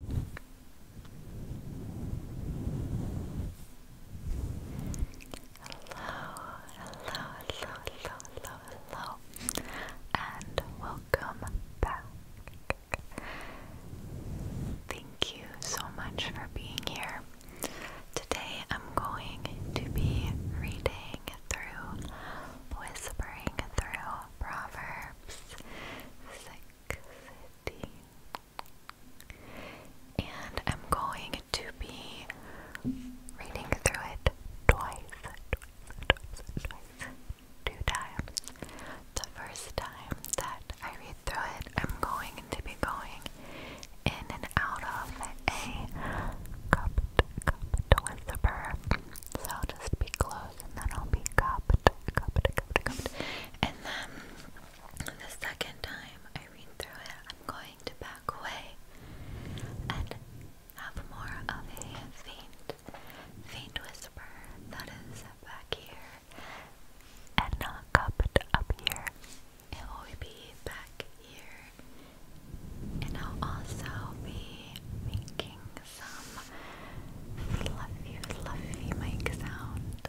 hello, hello, hello, hello, and welcome back. Thank you so much for being here. Today I'm going to be reading through, whispering through Proverbs and I'm going to be reading through it twice, twice, twice, twice, The first time that I read through it, I'm going to be going in and out of a cupped, cupped whisper. So just be close those and then I'll be cupped, cupped, cupped, cupped. And then the second time I read through it, I'm going to back away and have more of a faint, faint whisper that is back here and not cupped up here. It will be back here. And I'll also be making some fluffy, fluffy mic sounds.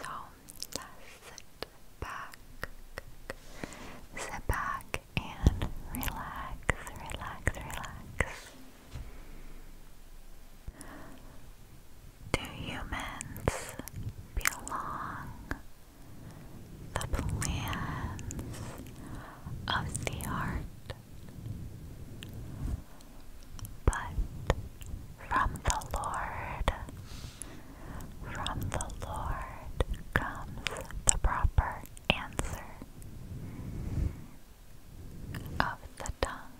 So sit back, sit back and relax, relax, relax. Do humans belong? The plans of the art but from the Lord, from the Lord comes the proper answer of the tongue.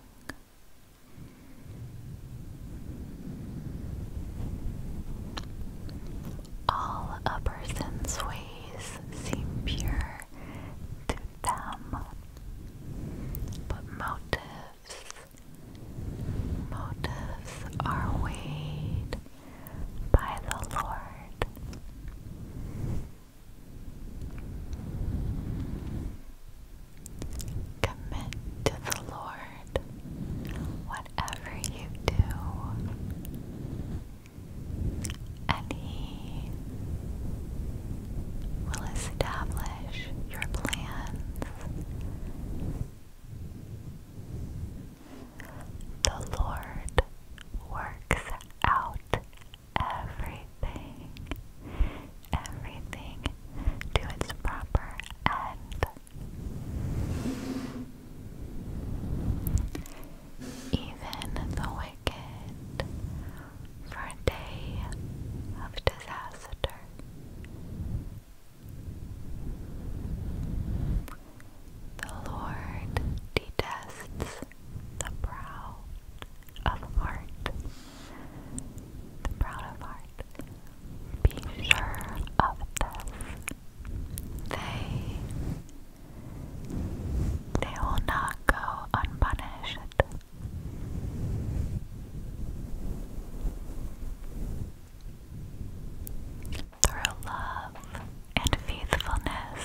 All a person's ways seem pure them. But motives, motives are weighed by the Lord. Commit to the Lord whatever you do and he will establish your plans. The Lord works out everything, everything to its proper end. Even the way ticket for a day of disaster. The Lord detests the proud of heart. The proud of heart. Be sure of this. They they will not go unpunished. Through love and faithfulness,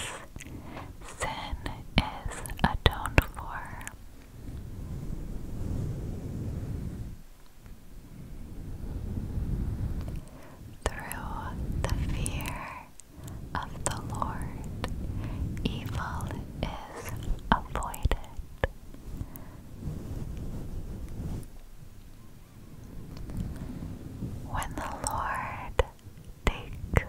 sin is atoned for. Through the fear of the Lord, evil is avoided. When the Lord takes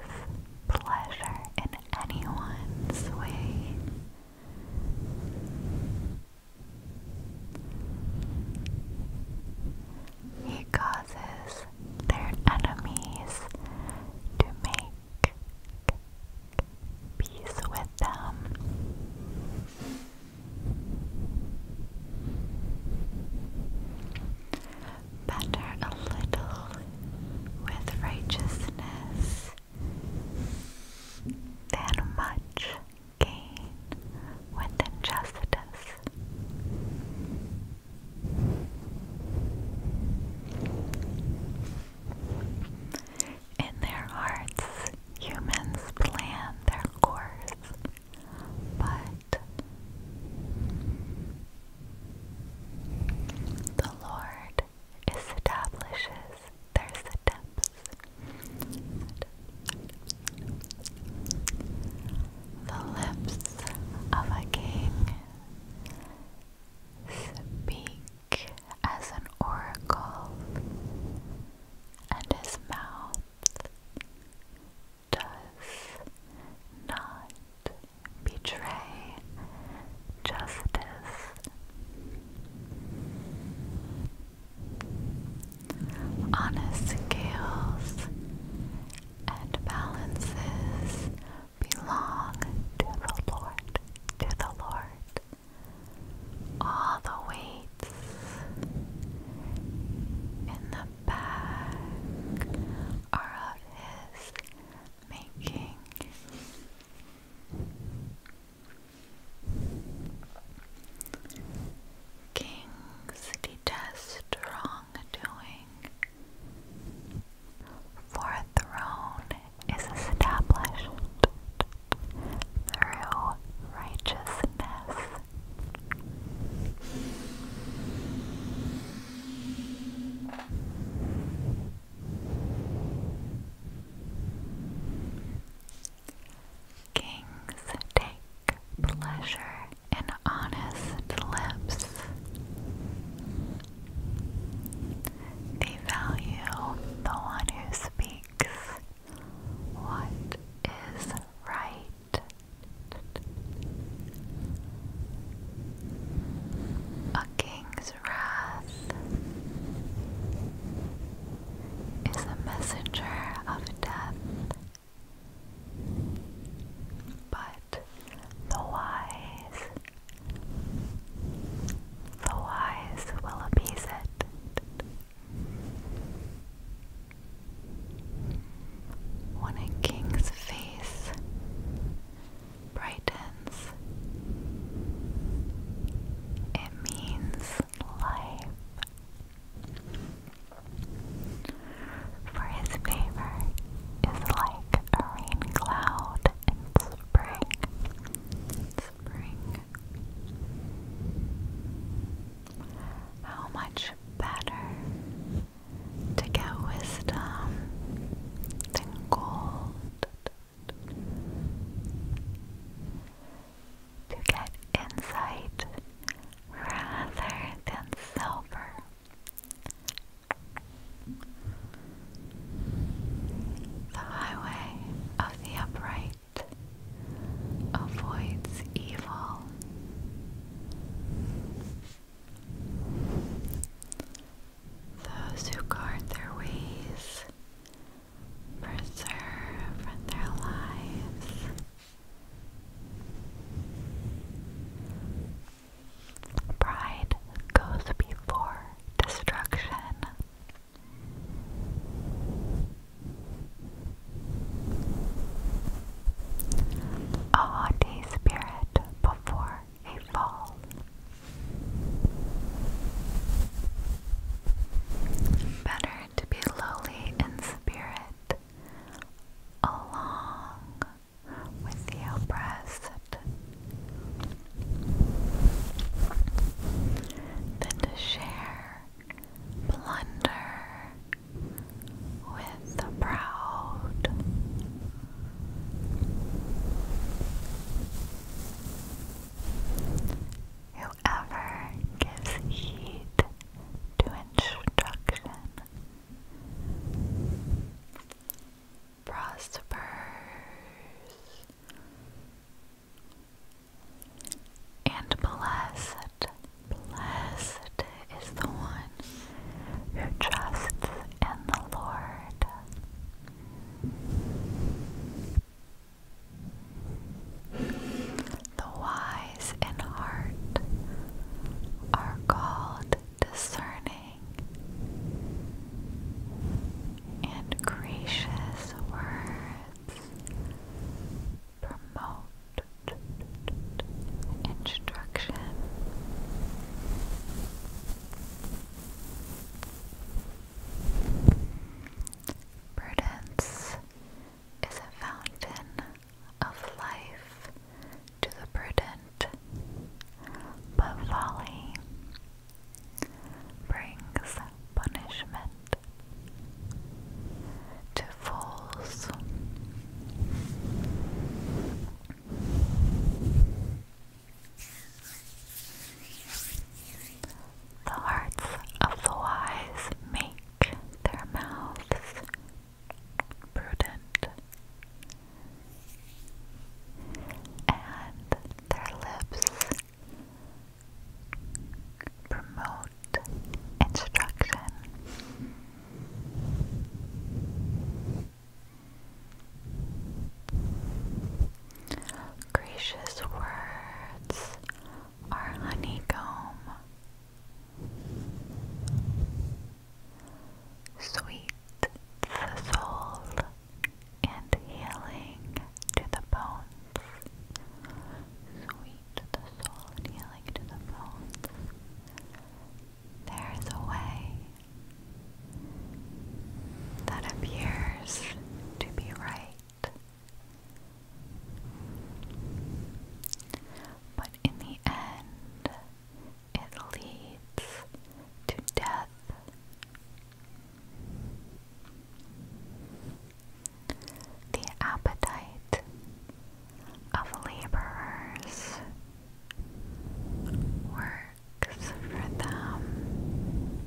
pleasure in anyone's way, he causes their enemies to make peace with them. Better a little with righteousness than much gain with injustice. In their hearts, humans plan their course, but the Lord establishes their steps the lips of a king. Speak as an oracle, and his mouth does not betray justice. On his and balances belong to the Lord, to the Lord. All the weights in the back are of His making. Kings detest wrongdoing, for a throne is established through righteousness. Kings take pleasure and honest lips. They value the one who speaks what is right. A king's wrath is a messenger of death but the wise, the wise will appease it. When a king's face brightens, it means life. For his favor is like a rain cloud in spring. Spring. How much better to get wisdom than gold. To get insight rather than silver the highway of the upright avoids evil. Those who guard their ways preserve their lives. Pride goes before destruction. A haughty spirit before a fall. Better to be lowly in spirit along with the oppressed, than to share plunder with the proud. Whoever gives heed to instruction prospers, and blessed. Blessed is the one who trusts in the Lord. The wise eyes and heart are called discerning and gracious words promote instruction. Prudence is a fountain of life to the prudent, but folly brings punishment to fools. The hearts of the wise make their mouths prudent, and their lips promote instruction. Gracious words are honeycomb Sweet the soul and healing to the bones. Sweet the soul healing to the bones. There is a way that appears to be right but in the end, it leads to death. The appetite of laborers works for them.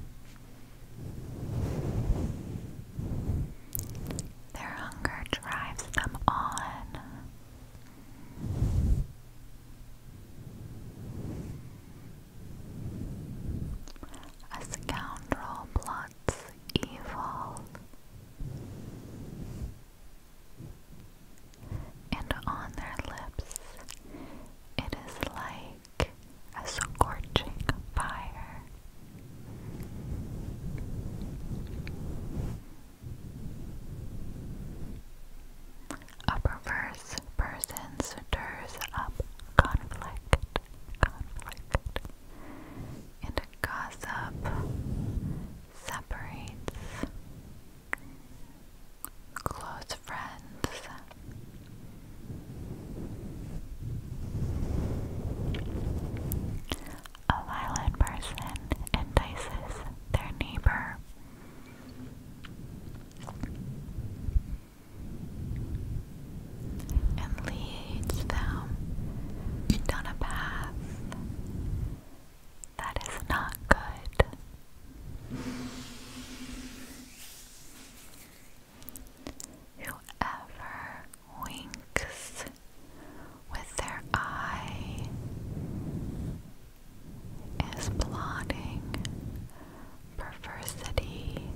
Their hunger drives them on a scoundrel plots evil, and on their lips it is like a scorching fire. A perverse person stirs up conflict, conflict, and gossip separates close friends. A violent person entices their neighbor. And leads them down a path that is not good. Whoever winks with their eye is plotting perversity.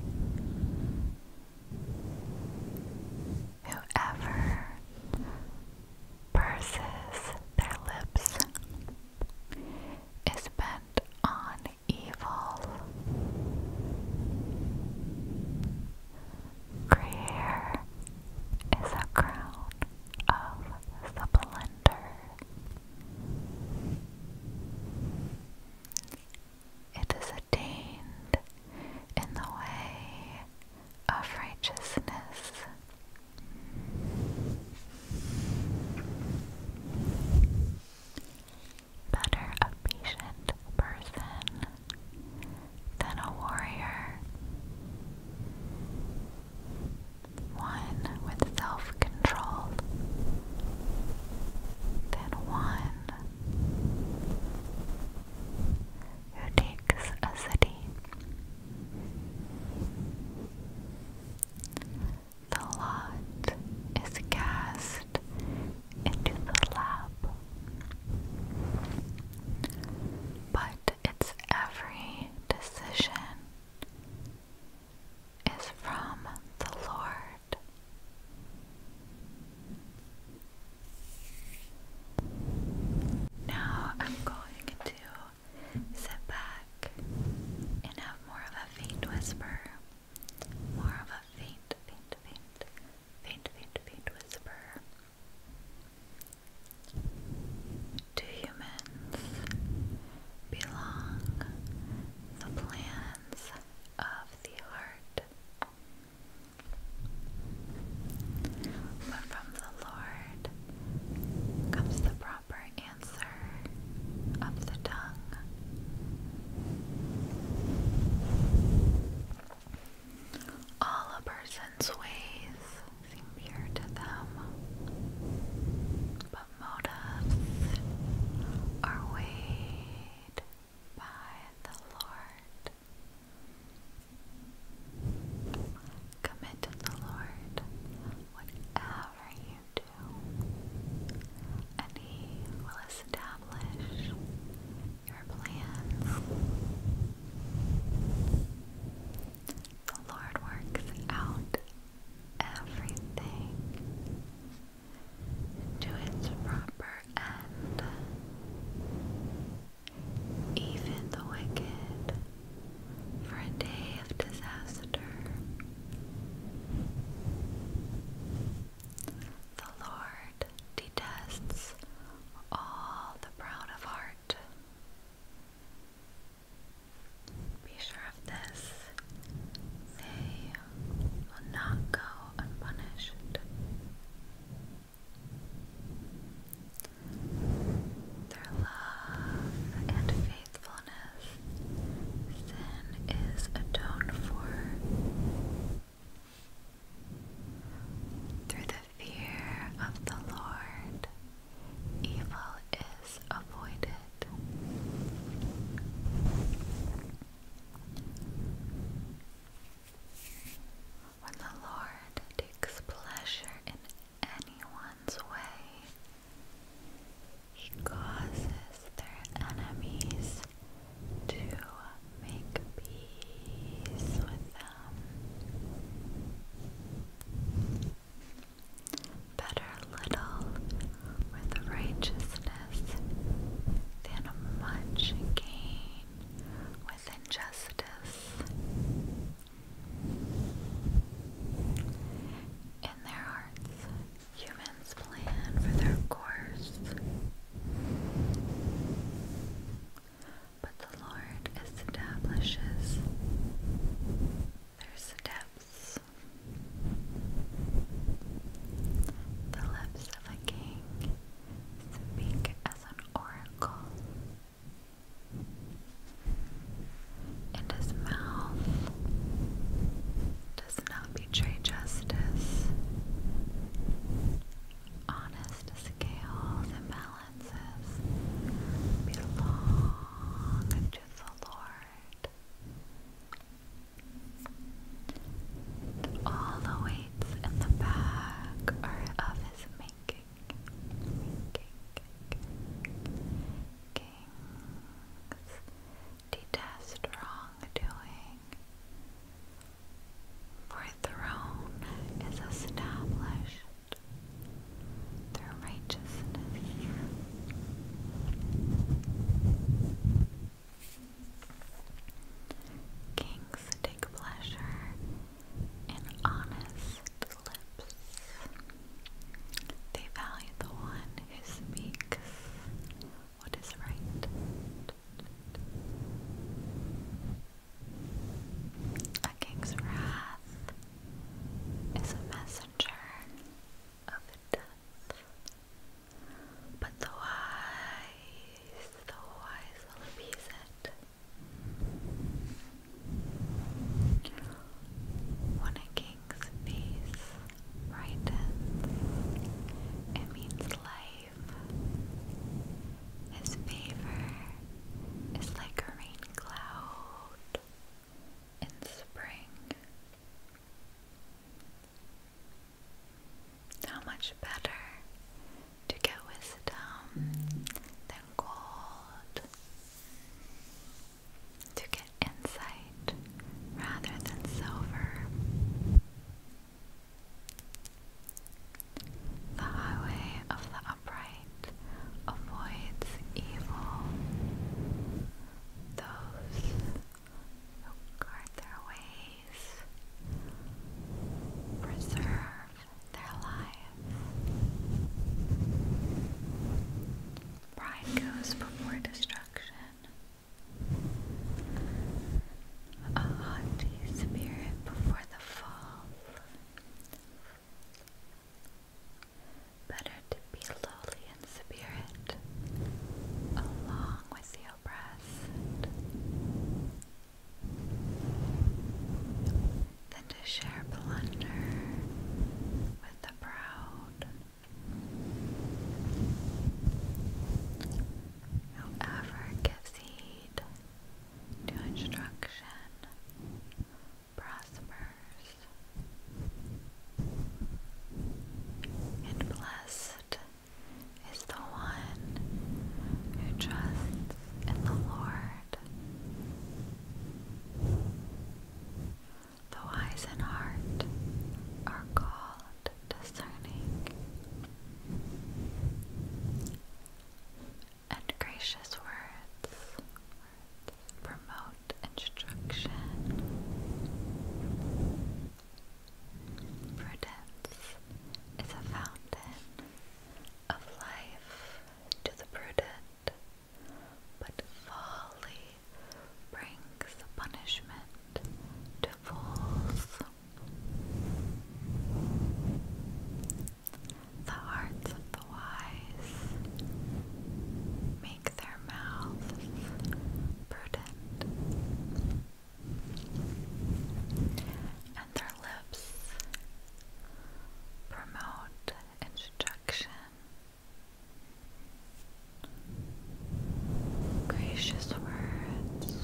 Whoever purses their lips is bent on evil. Creator is a crown of splendor. It is attained in the way of righteousness. Better a patient person than a warrior, one with self control, than one who takes a city. The lot is cast into the lap but its every decision is from the Lord. Now I'm going to sit back and have more of a faint whisper. More of a faint, faint, faint, faint, faint, whisper do humans belong the plans of the heart? But from the Lord comes the proper answer of the tongue. All a person's ways seem pure to them, but motives are weighed by the Lord. Commit to the Lord whatever you do, and He will establish your plans. The Lord works out everything to its proper end. Even the wicked for a day of disaster. The Lord detests all the proud of heart. Be sure of this, they will not go unpunished. Their love and faithfulness, sin is atoned for through the fear of the Lord, evil is avoided. When the Lord takes pleasure in anyone's way, he causes their enemies to make peace with them. Better little with righteousness than much gain with injustice. In their hearts, humans plan for their course but the Lord establishes their steps. The lips of a king speak as an oracle, and his mouth does not betray justice honest scales and balances belong to the Lord. all the weights in the bag are of his making. making. Kings detest for a throne is established through righteousness. Kings take pleasure in honest lips. They value the one who speaks what is right. A king's wrath is a messenger of death, but the wise, the wise will appease it. When a king's face brightens, it means life. His favor is like a rain cloud in spring. How much better to get wisdom than gold, to get insight rather than silver. The highway of the upright avoids evil. Those who guard their ways preserve their lives. Pride goes before destruction a haughty spirit before the fall. Better to be lowly in spirit, along with the oppressed, than to share plunder with the proud. Whoever gives heed to instruction prospers and blessed is the one who trusts in the Lord. The wise in heart are called discerning, and gracious words, promote instruction, prudence is a fountain of life to the prudent, but folly brings punishment to fools. The hearts of the wise make their mouths prudent, and their lips promote instruction. Gracious words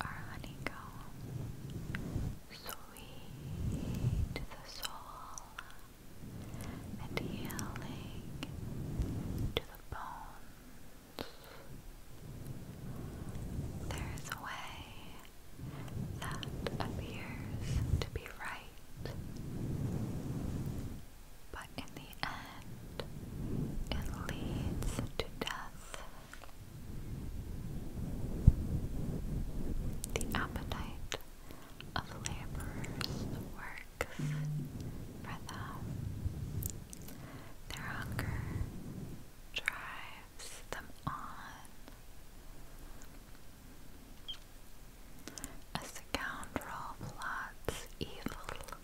our honeycomb, sweet to the soul and healing to the bones. There is a way that appears to be right, but in the end, it leads to death the appetite of laborers works for them. Their hunger drives them on. A scoundrel plots evil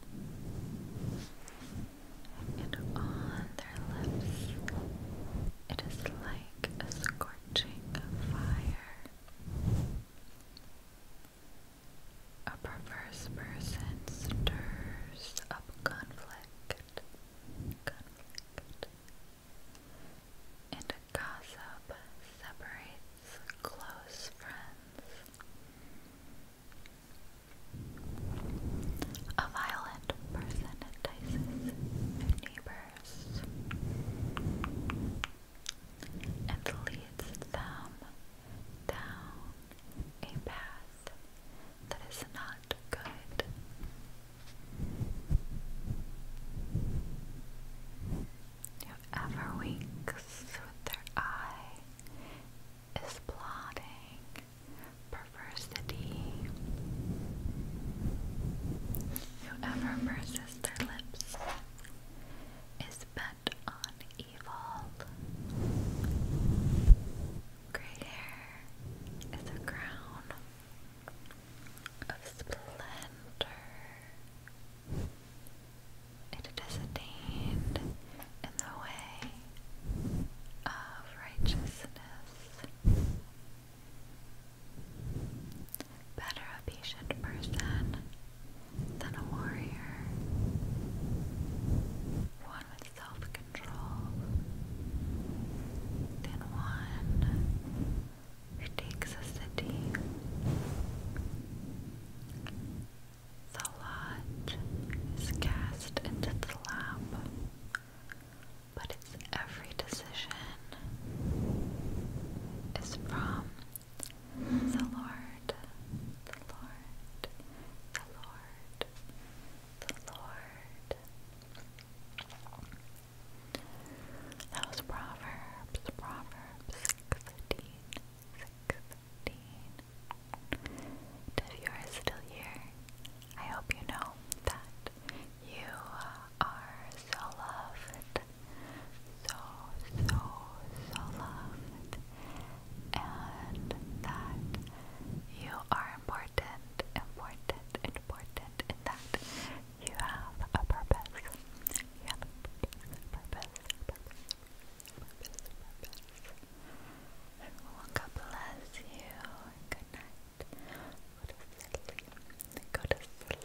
and on their lips it is like a scorching fire. A perverse person stirs up conflict, and gossip separates close friends. A violent person entices their neighbors and leads them down a path that is not good. Whoever winks with their eye is plotting perversity. Whoever purses their lips is bent on evil. Gray hair is a crown of splendor. It is attained in the way of righteousness. Better a patient person than a warrior, one with self control, than one who takes a city. The lot is cast into the lap, but its every decision is from the Lord, the Lord, the Lord, the Lord. That was Proverbs, Proverbs 16, 16 if you are still here, I hope you know that you are so loved, so, so, so loved, and that you are important, important, important, and that you have a purpose. You have a purpose, purpose, purpose. God bless you. Good night. Go to sleep.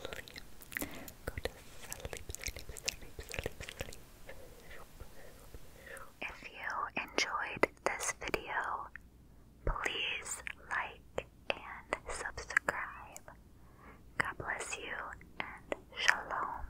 Go to sleep. sleep, sleep, sleep, sleep, sleep. If you enjoyed this video, please like and subscribe. God bless you and shalom.